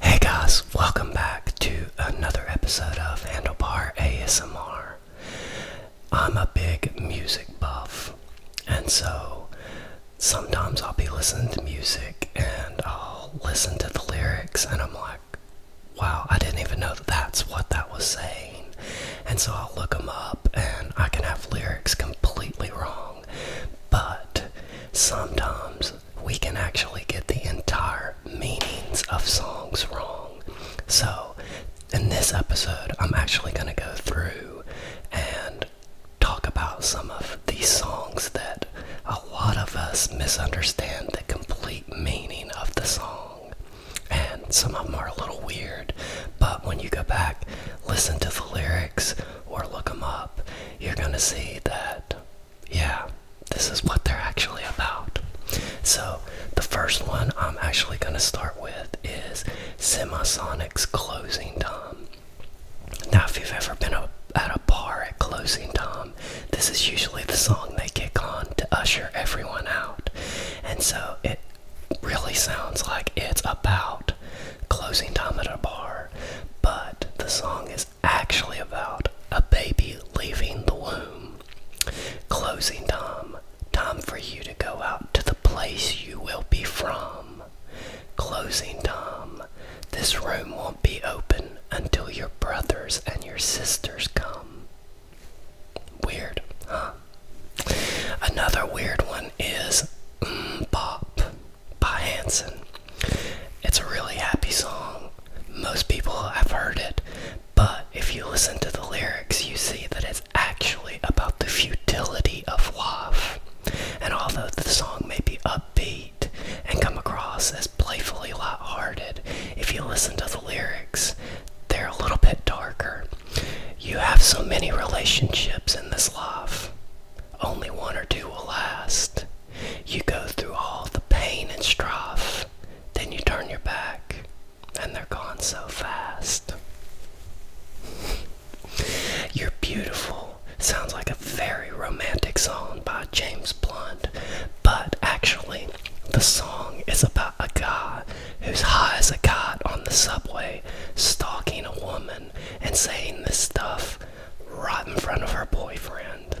Hey guys, welcome back to another episode of Handlebar ASMR. I'm a big music buff, and so sometimes I'll be listening to music and I'll listen to the lyrics, and I'm like, wow, I didn't even know that that's what that was saying and so I'll look them up and I can have lyrics completely wrong. But sometimes we can actually get the entire meanings of songs wrong. So in this episode, I'm actually going to go through and talk about some of these songs that a lot of us misunderstand the complete meaning of the song some of them are a little weird, but when you go back, listen to the lyrics or look them up, you're gonna see that, yeah, this is what they're actually about. So, the first one I'm actually gonna start with is Semisonic's Closing Time. Now, if you've ever been at a bar at closing time, this is usually the song they kick on to usher everyone out. And so it really sounds like it's about closing time at a bar, but the song is actually about a baby leaving the womb. Closing time, time for you to go out to the place you will be from. Closing time, this room won't be open until your brothers and your sisters come. Weird, huh? Another weird one is mm Bop by Hanson. It's a really happy song. Most people have heard it, but if you listen to the lyrics, you see that it's actually about the futility of love. And although the song may be upbeat and come across as playfully light-hearted, if you listen to the lyrics, they're a little bit darker. You have so many relationships in this life. Only one or two will last. You go through all the pain and strife, then you turn your back, and they're gone so fast. You're beautiful sounds like a very romantic song by James Blunt, but actually, the song is about a god who's high as a cat on the subway, stalking a woman and saying this stuff right in front of her boyfriend.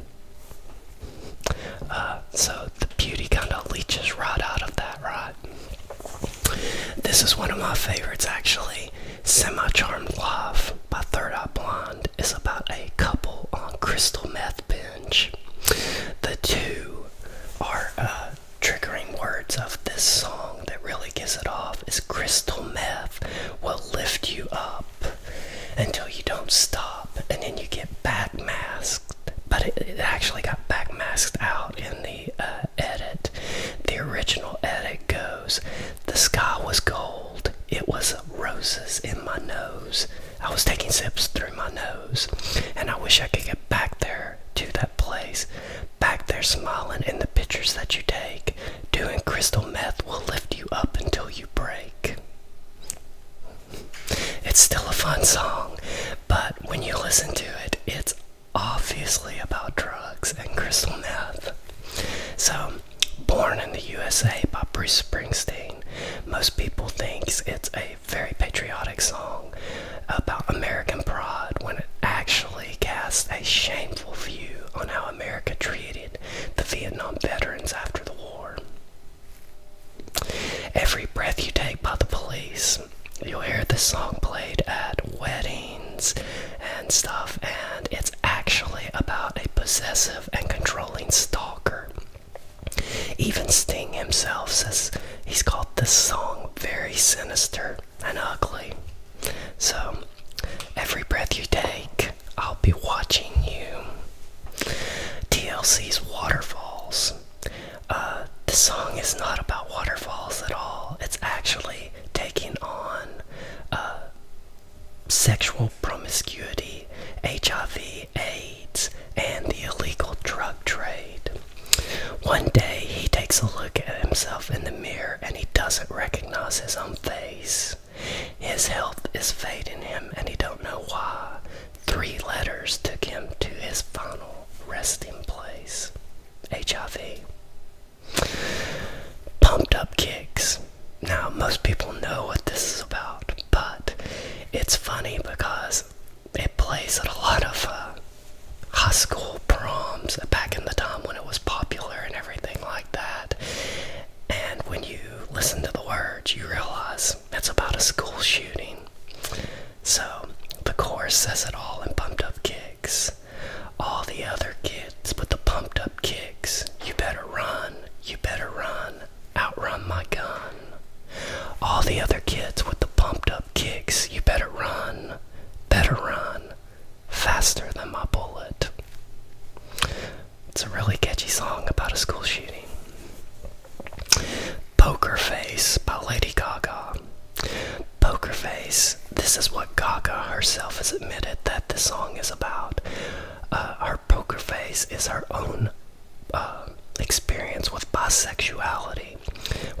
Uh, so the beauty kind of leeches right out of that, right? This is one of my favorites, actually. Semi Charmed Love by Third Eye Blind is about a couple on crystal meth binge. The two are uh, triggering words of this song that really gives it off is crystal meth will lift you up until you don't stop and then you get back masked but it, actually got back masked out in the uh, edit the original edit goes the sky was gold it was roses in my nose i was taking sips through my nose and i wish i could get back there to that place, back there smiling in the pictures that you take. Doing crystal meth will lift you up until you break. It's still a fun song, but when you listen to it, it's obviously about drugs and crystal meth. So, Born in the USA by Bruce Springsteen, most people thinks it's a very patriotic song about American pride when it actually casts a shameful view on how America treated the Vietnam veterans after the war. Every breath you take by the police, you'll hear this song played at weddings and stuff, and it's actually about a possessive and controlling stalker even Sting himself says he's called this song very sinister and ugly. So, every breath you take, I'll be watching you. TLC's Waterfalls. Uh, the song is not about waterfalls at all. It's actually taking on uh, sexual promiscuity, H R V A and the illegal drug trade. One day he takes a look at himself in the mirror and he doesn't recognize his own face. His health is fading him and he don't know why. Three letters took him to his final resting place. HIV. Pumped up kicks. Now most people know what this is about, but it's funny because it plays at a lot of uh, high school proms back in the time when it was popular and everything like that. And when you listen to the words, you realize it's about a school shooting. So the chorus says it all in pumped up kicks. All the other kids with the pumped up kicks. You better run, you better run, outrun my gun. All the other kids with the pumped up kicks, you better run, better run, faster than my bullet. It's a really catchy song about a school shooting. Poker Face by Lady Gaga. Poker Face, this is what Gaga herself has admitted that the song is about. Uh, her poker face is her own uh, experience with bisexuality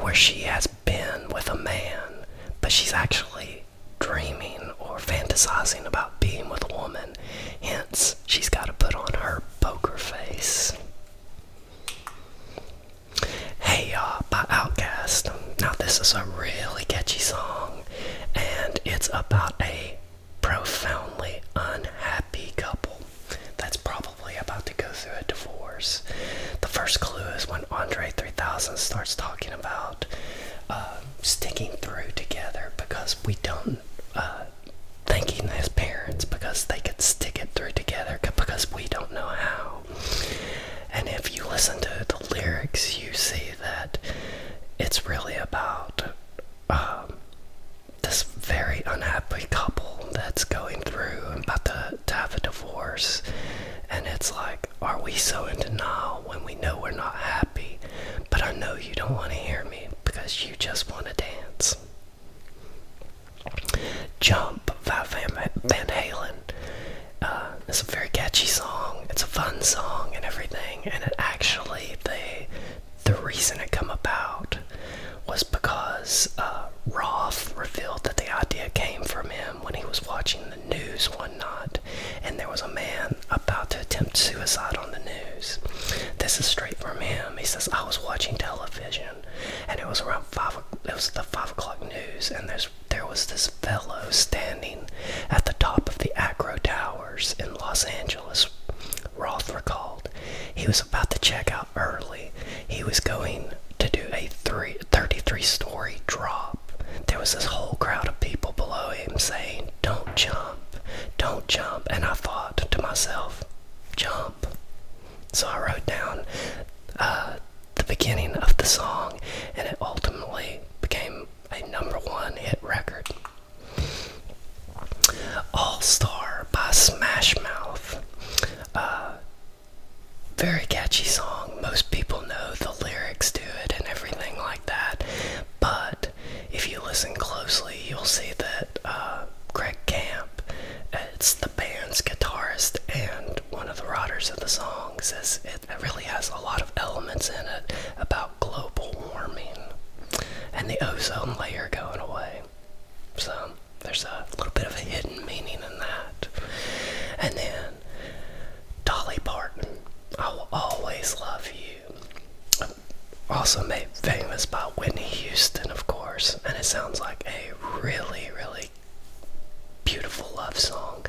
where she has been with a man, but she's actually dreaming or fantasizing about being with a woman. Hence, she's got to put on her poker face. Hey Ya by Outkast. Now, this is a really catchy song, and it's about a profoundly unhappy couple that's probably about to go through a divorce. The first clue is when Andre 3000 starts talking about uh, sticking through together because we don't, uh, thanking his parents because they could stick it through together because we don't know how. And if you listen to the lyrics, you see that it's really about um, this very unhappy couple that's going through and about to, to have a divorce. And it's like, are we so in denial when we know we're not happy? But I know you don't want to hear me because you just want to dance. Jump Van, Van Halen. Uh, it's a very catchy song. It's a fun song and everything. And it actually, they the reason it come about was because uh, Roth revealed that the idea came from him when he was watching the news one night, and there was a man about to attempt suicide on the news. This is straight from him. He says, "I was watching television, and it was around five. It was the five o'clock news, and there's there was this fellow standing at the top of the Acro Towers in Los Angeles, Roth recalled. He was about to check out early. He was going to do a 33 story drop. There was this whole crowd of people below him saying, Don't jump, don't jump. And I thought to myself, Jump. So I wrote down uh, the beginning of the song, and it ultimately became a number one hit record. All Star by Smash Mouth. Uh, very catchy song. Most people know the lyrics to it and everything like that. But if you listen closely, you'll see that uh, Greg it's the band's guitarist and one of the writers of the song, says it really has a lot of elements in it about global warming and the ozone layer going away. So there's a little bit of a hidden meaning in that. And then Dolly Parton, I will always love you. Also made famous by Whitney Houston, of course, and it sounds like a really, really beautiful love song.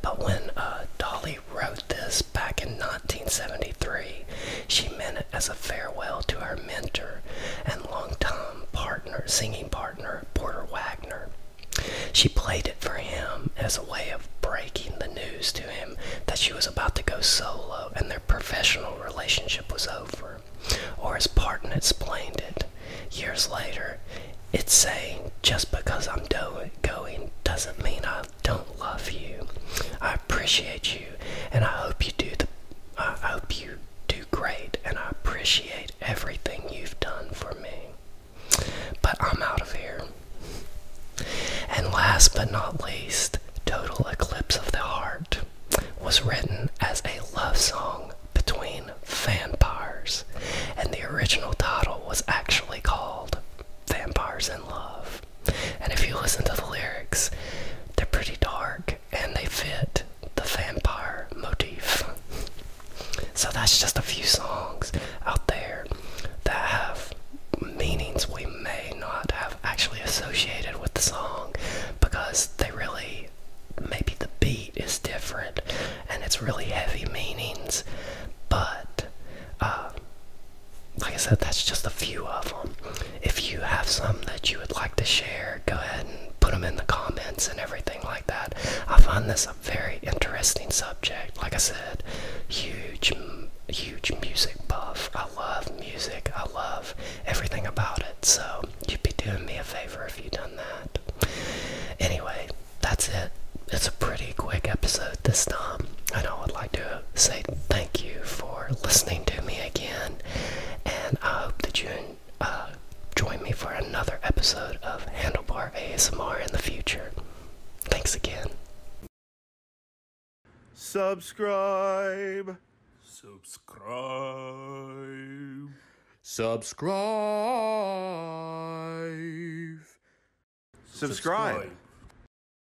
But when uh, Dolly wrote this back in 1973, she meant as a farewell to her mentor and longtime partner, singing partner, Porter Wagner. She played it for him as a way of breaking the news to him that she was about to go solo and their professional relationship was over. Or as Parton explained it years later, it's saying, just because I'm going doesn't mean I don't love you. I appreciate you, and I hope you do the. I hope you do great, and I appreciate everything you've done for me. But I'm out of here. And last but not least, Total Eclipse of the Heart was written as a love song between vampires, and the original title was actually called Vampires in Love. And if you listen to the lyrics, they're pretty dark and they fit the vampire motif. So that's just a few songs out there that have meanings we may not have actually associated with the song because they really maybe the beat is different and it's really heavy meanings but uh, like I said, that's just a few of them. If you have some that you would like to share, go ahead and put them in the comments and everything like that. I find this a very interesting subject. Like I said, huge, huge music buff. I love music. I love everything about it. So you'd be doing me a favor if you done that. Anyway, that's it. It's a pretty quick episode this time. Um, and I would like to say thank you for listening to me again. And I hope that you uh, join me for another episode of Handlebar ASMR in the future. Thanks again. Subscribe. Subscribe. Subscribe. Subscribe.